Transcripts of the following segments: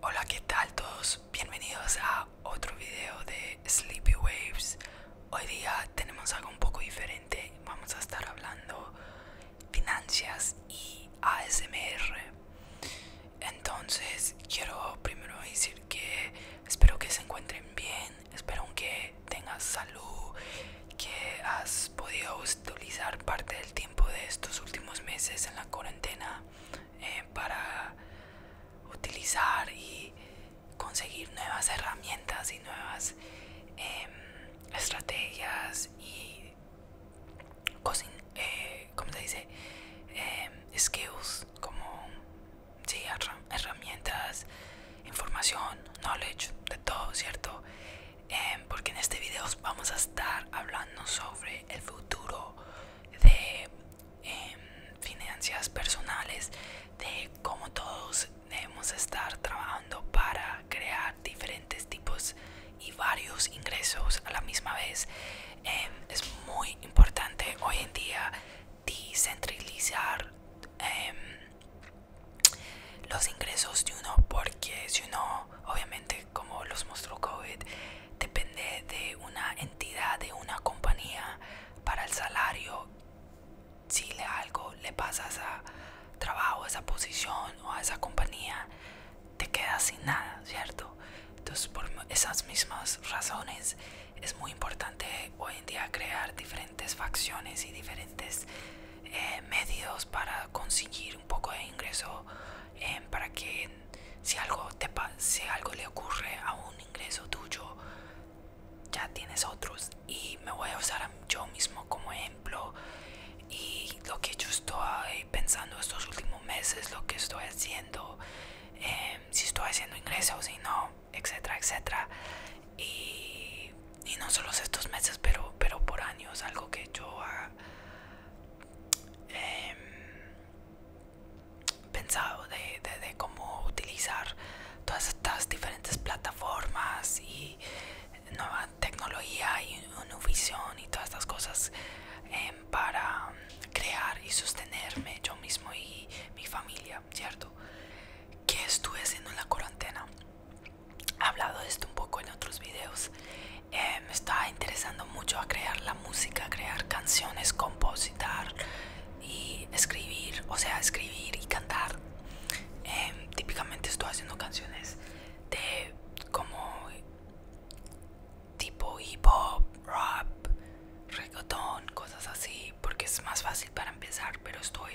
Hola, ¿qué tal todos? Bienvenidos a otro video de Sleepy Waves. Hoy día tenemos algo un poco diferente. Vamos a estar hablando finanzas y ASMR. Entonces, quiero primero decir que espero que se encuentren bien, espero que tengas salud, que has podido utilizar parte del tiempo de estos últimos meses en la cuarentena eh, para utilizar y conseguir nuevas herramientas y nuevas em, estrategias y eh, ¿cómo se dice? Em, skills como sí, herramientas, información, knowledge, de todo, ¿cierto? Em, porque en este video vamos a estar hablando sobre el futuro de em, finanzas personales, de cómo todos debemos estar trabajando para crear diferentes tipos y varios ingresos a la misma vez. Em, es muy importante hoy en día descentralizar em, los ingresos de uno porque si uno obviamente como los mostró COVID depende de una entidad de una compañía para el salario si le algo le pasa a trabajo a esa posición o a esa compañía te quedas sin nada cierto entonces por esas mismas razones es muy importante hoy en día crear diferentes facciones y diferentes eh, medios para conseguir un poco de ingreso eh, para que si algo, te, si algo le ocurre a un ingreso tuyo ya tienes otros y me voy a usar yo mismo como ejemplo y lo que yo estoy pensando estos últimos meses lo que estoy haciendo eh, si estoy haciendo ingresos si no etcétera, etcétera. Y, no solo estos meses, pero, por años, algo que yo he ah, em, pensado de, cómo utilizar todas estas diferentes plataformas y nueva tecnología y visión y todas estas cosas em, para crear y sostenerme yo mismo y mi familia ¿cierto? ¿Qué estuve haciendo en la cuarentena? He hablado de esto un poco en otros videos. Eh, me estaba interesando mucho a crear la música, crear canciones, compositar y escribir, o sea, escribir y cantar. Em, típicamente estoy haciendo canciones de como tipo hip hop, rap, reggaeton, cosas así, porque es más fácil para empezar, pero estoy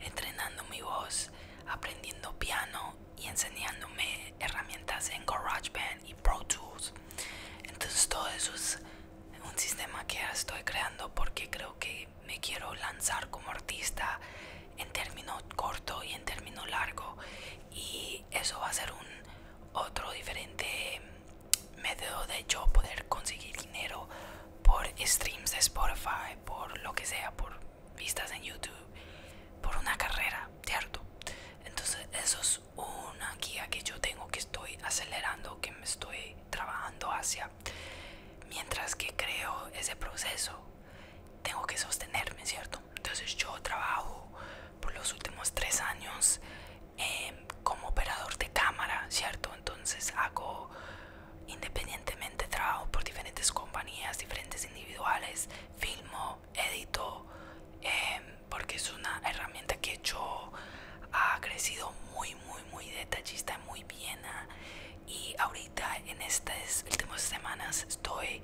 entrenando mi voz, aprendiendo piano y enseñándome herramientas en GarageBand y Pro Tools. Entonces todo eso es un sistema que estoy creando porque creo que me quiero lanzar como artista en término corto y en término largo y eso va a ser un otro diferente Medio de yo poder conseguir dinero por streams de Spotify, por lo que sea, por vistas en YouTube, por una carrera, ¿cierto? Entonces eso es una guía que yo tengo que estoy acelerando, que me estoy trabajando hacia. Mientras que creo ese proceso, tengo que sostenerme, ¿cierto? Entonces yo trabajo por los últimos tres años Em, como operador de cámara, ¿cierto? Entonces hago independientemente trabajo por diferentes compañías, diferentes individuales, filmo, edito, em, porque es una herramienta que yo ha crecido muy, muy, muy detallista, muy bien. Y ahorita en estas últimas semanas estoy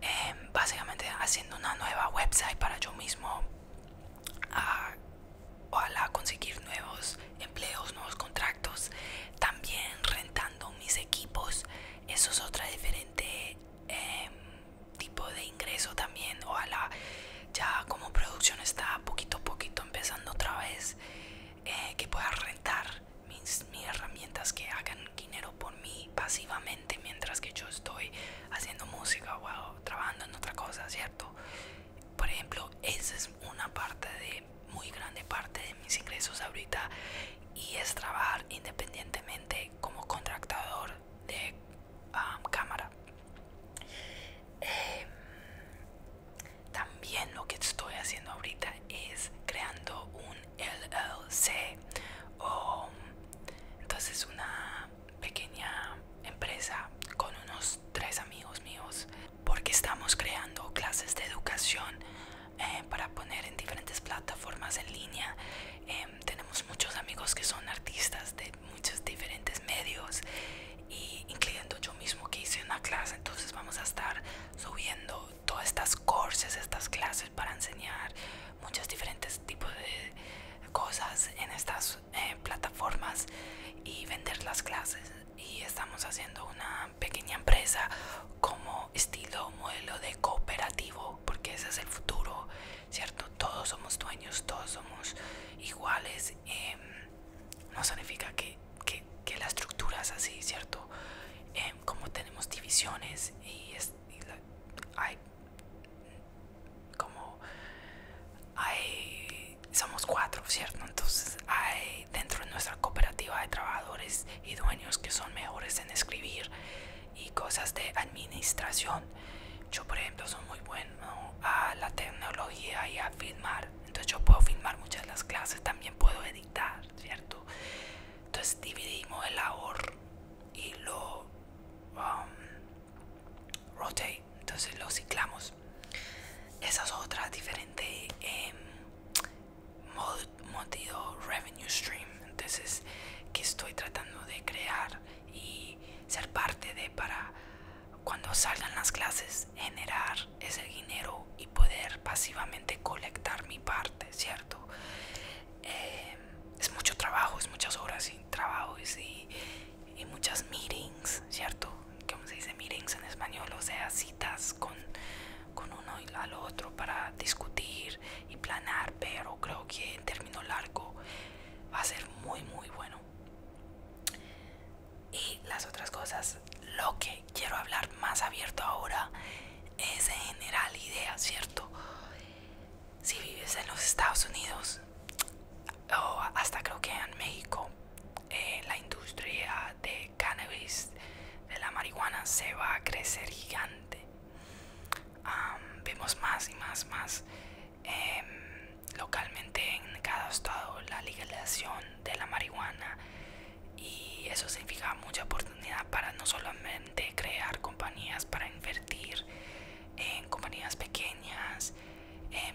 Em, básicamente haciendo una nueva website para yo mismo a, ojalá conseguir nuevos empleos nuevos contratos también rentando mis equipos eso es otra diferente em, tipo de ingreso también o a la ya como producción está poquito a poquito empezando otra vez eh, que pueda rentar mis herramientas que hagan dinero por mí pasivamente mientras que yo estoy haciendo música o trabajando en otra cosa, ¿cierto? Por ejemplo, esa es una parte de, muy grande parte de mis ingresos ahorita y es trabajar independientemente como contractador de cámara. Em, también lo que estoy haciendo ahorita es creando un LLC o entonces una pequeña empresa con unos tres amigos míos porque estamos creando clases de educación eh, para poner en diferentes plataformas en línea em, tenemos muchos amigos que son artistas de muchos diferentes medios y incluyendo yo mismo que hice una clase entonces vamos a estar subiendo todas estas courses estas clases para enseñar muchos diferentes tipos de cosas en estas eh, plataformas y vender las clases y estamos haciendo una pequeña empresa como estilo modelo de cooperativo porque ese es el futuro cierto todos somos dueños todos somos iguales em, no significa que, que, que la estructura es así cierto em, como tenemos divisiones y hay como hay somos cuatro cierto entonces hay dentro de nuestra cooperativa de trabajadores y dueños que son mejores en escribir y cosas de administración yo por ejemplo soy muy bueno a la tecnología y a filmar entonces yo puedo filmar muchas de las clases también puedo editar cierto entonces dividimos el labor y lo um, rotate, entonces lo ciclamos. Esas es diferentes diferente em, revenue stream, entonces que estoy tratando de crear y ser parte de para cuando salgan las clases generar ese dinero y poder pasivamente colectar mi parte, ¿cierto? Eh, es mucho trabajo, es muchas horas y trabajos y, muchas meetings, ¿cierto? ¿Cómo se dice meetings en español? O sea, citas con, uno y al otro para discutir y planar, pero creo que en término largo va a ser muy, muy bueno. Y las otras cosas, lo que quiero hablar más abierto ahora es general idea, ¿cierto? Si vives en los Estados Unidos o hasta creo que en México, eh, la industria de cannabis, de la marihuana, se va a crecer gigante. vemos más y más, más em, localmente en cada estado la legalización de la marihuana y eso significa mucha oportunidad para no solamente crear compañías, para invertir en compañías pequeñas,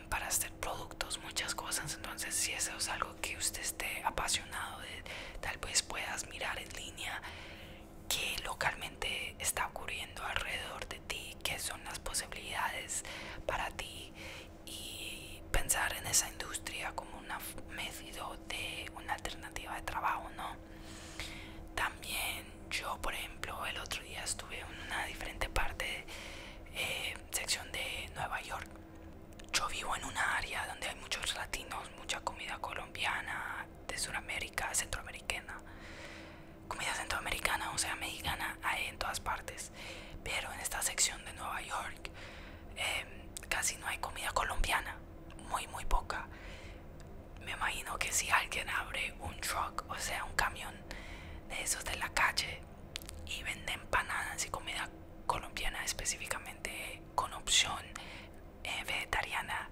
para hacer productos, muchas cosas. Entonces, si eso es algo que usted esté apasionado de, tal vez puedas mirar en línea qué localmente está ocurriendo alrededor de ti, qué son las posibilidades para ti y pensar en esa industria como una medidora de una alternativa de trabajo, ¿no? También yo, por ejemplo, el otro día estuve en una diferente parte, eh, sección de Nueva York. Yo vivo en una área donde hay muchos latinos, mucha comida colombiana, de Sudamérica, centroamericana. Comida centroamericana, o sea, mexicana, hay en todas partes. Pero en esta sección de Nueva York Em, casi no hay comida colombiana, muy muy poca. Me imagino que si alguien abre un truck, o sea, un camión de esos de la calle y vende empanadas y comida colombiana específicamente con opción eh, vegetariana,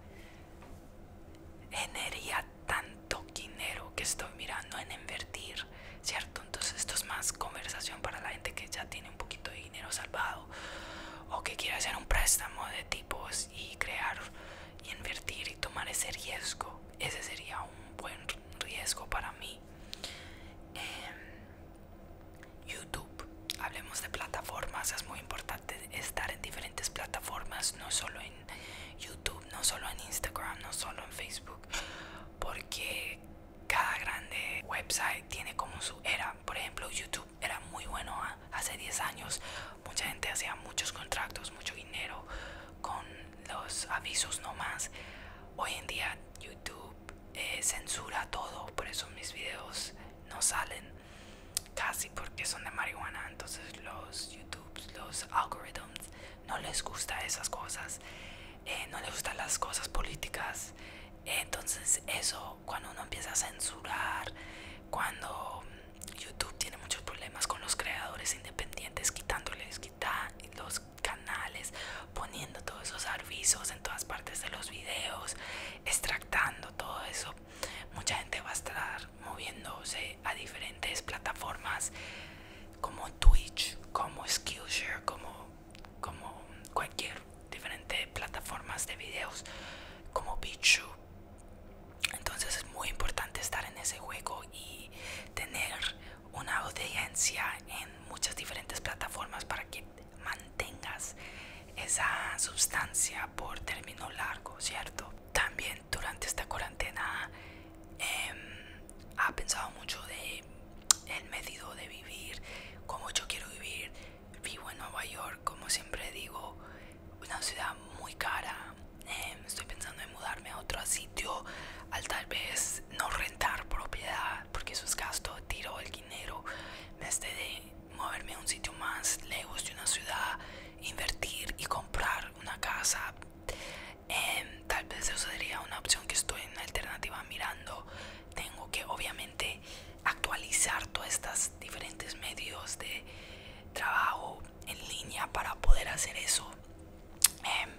generaría tanto dinero que estoy mirando en invertir, ¿cierto? Entonces esto es más conversación para la gente que ya tiene un poquito de dinero salvado o que quiera hacer un préstamo de tipos y crear y invertir y tomar ese riesgo, ese sería un buen riesgo para mí. Em, YouTube, hablemos de plataformas, es muy importante estar en diferentes plataformas, no solo en YouTube, no solo en Instagram, no solo en Facebook, porque cada grande website tiene como su era. Por ejemplo, YouTube era muy bueno ah, hace 10 años. Mucha gente hacía muchos contratos, mucho dinero con los avisos nomás. Hoy en día YouTube eh, censura todo, por eso mis videos no salen casi porque son de marihuana. Entonces los YouTube, los algoritmos no les gusta esas cosas. Eh, no le gustan las cosas políticas. Entonces eso, cuando uno empieza a censurar, cuando YouTube tiene muchos problemas con los creadores independientes, quitándoles quita los canales, poniendo todos esos avisos en todas partes de los videos, extractando todo eso, mucha gente va a estar moviéndose a diferentes plataformas como Twitch, como Skillshare, como como cualquier diferente plataformas de videos como Bichu entonces es muy importante estar en ese juego y tener una audiencia en muchas diferentes plataformas para que mantengas esa sustancia por término largo cierto también durante esta cuarentena em, ha pensado mucho de el método de vivir, como yo quiero vivir. Vivo en Nueva York, como siempre digo, una ciudad muy cara. Em, estoy pensando en mudarme a otro sitio, al tal vez no rentar propiedad, porque eso es gasto, tiro el dinero. Me de moverme a un sitio más lejos de una ciudad, invertir y comprar una casa. Em, tal vez eso sería una opción que estoy en alternativa mirando tengo que obviamente actualizar todas estas diferentes medios de trabajo en línea para poder hacer eso em,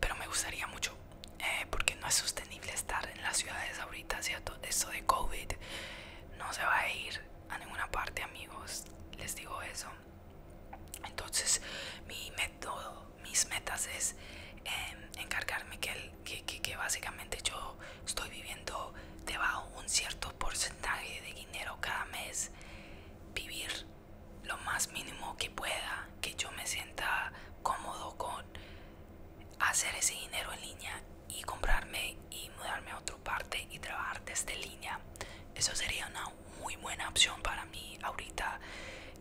pero me gustaría mucho eh, porque no es sostenible estar en las ciudades ahorita todo esto de covid no se va a ir a ninguna parte amigos les digo eso entonces, mi método, mis metas es em, encargarme que, que, básicamente yo estoy viviendo debajo un cierto porcentaje de dinero cada mes, vivir lo más mínimo que pueda, que yo me sienta cómodo con hacer ese dinero en línea y comprarme y mudarme a otra parte y trabajar desde línea. Eso sería una muy buena opción para mí ahorita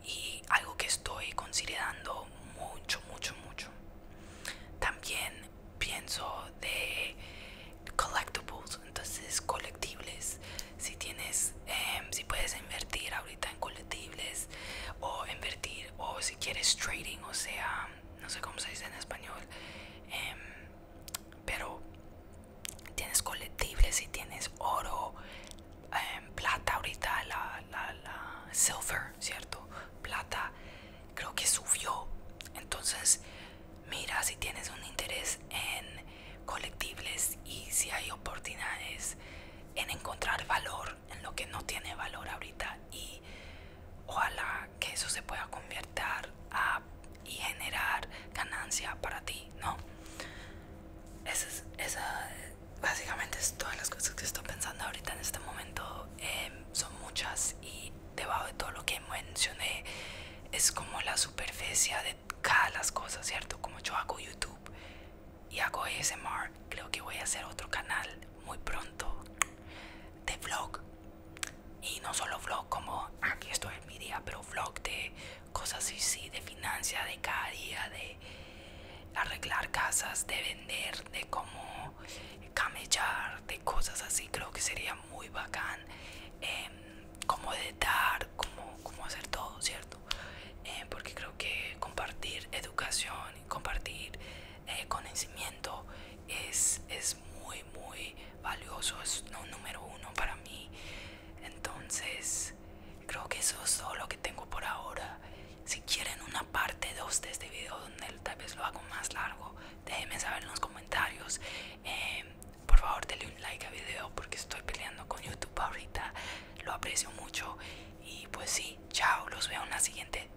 y algo que estoy considerando mucho, mucho, mucho. También pienso de collectibles, entonces colectibles. Si tienes, em, si puedes invertir ahorita en colectibles o invertir o si quieres trading, o sea, no sé cómo se dice en español, em, pero tienes colectibles y tienes oro, em, plata ahorita, la, la, silver, ¿cierto? Plata creo que subió. Entonces mira si tienes un interés en colectibles y si hay oportunidades en encontrar valor en lo que no tiene valor ahorita y ojalá que eso se pueda convertir a y generar ganancia para ti, ¿no? Esa esa, básicamente es todas las cosas que estoy pensando ahorita en este momento. Em, son muchas y debajo de todo lo que mencioné es como la superficie de cada las cosas, ¿cierto? Como yo hago YouTube y hago ASMR, creo que voy a hacer otro canal muy pronto de vlog. Y no solo vlog como aquí estoy en mi día, pero vlog de cosas así, sí, de financia, de cada día, de arreglar casas, de vender, de cómo camellar, de cosas así, creo que sería muy bacán. Em, como de dar, como, hacer todo, ¿cierto? Em, porque creo que compartir educación, compartir eh, conocimiento es, es muy, muy valioso, es no, número uno para mí. Entonces, creo que eso es todo lo que tengo por ahora. Si quieren una parte 2 de este video donde tal vez lo hago más largo, déjenme saber en los comentarios. Em, por favor, denle un like al video porque estoy peleando con YouTube ahorita. Lo aprecio mucho. Y pues sí, chao, los veo en la siguiente.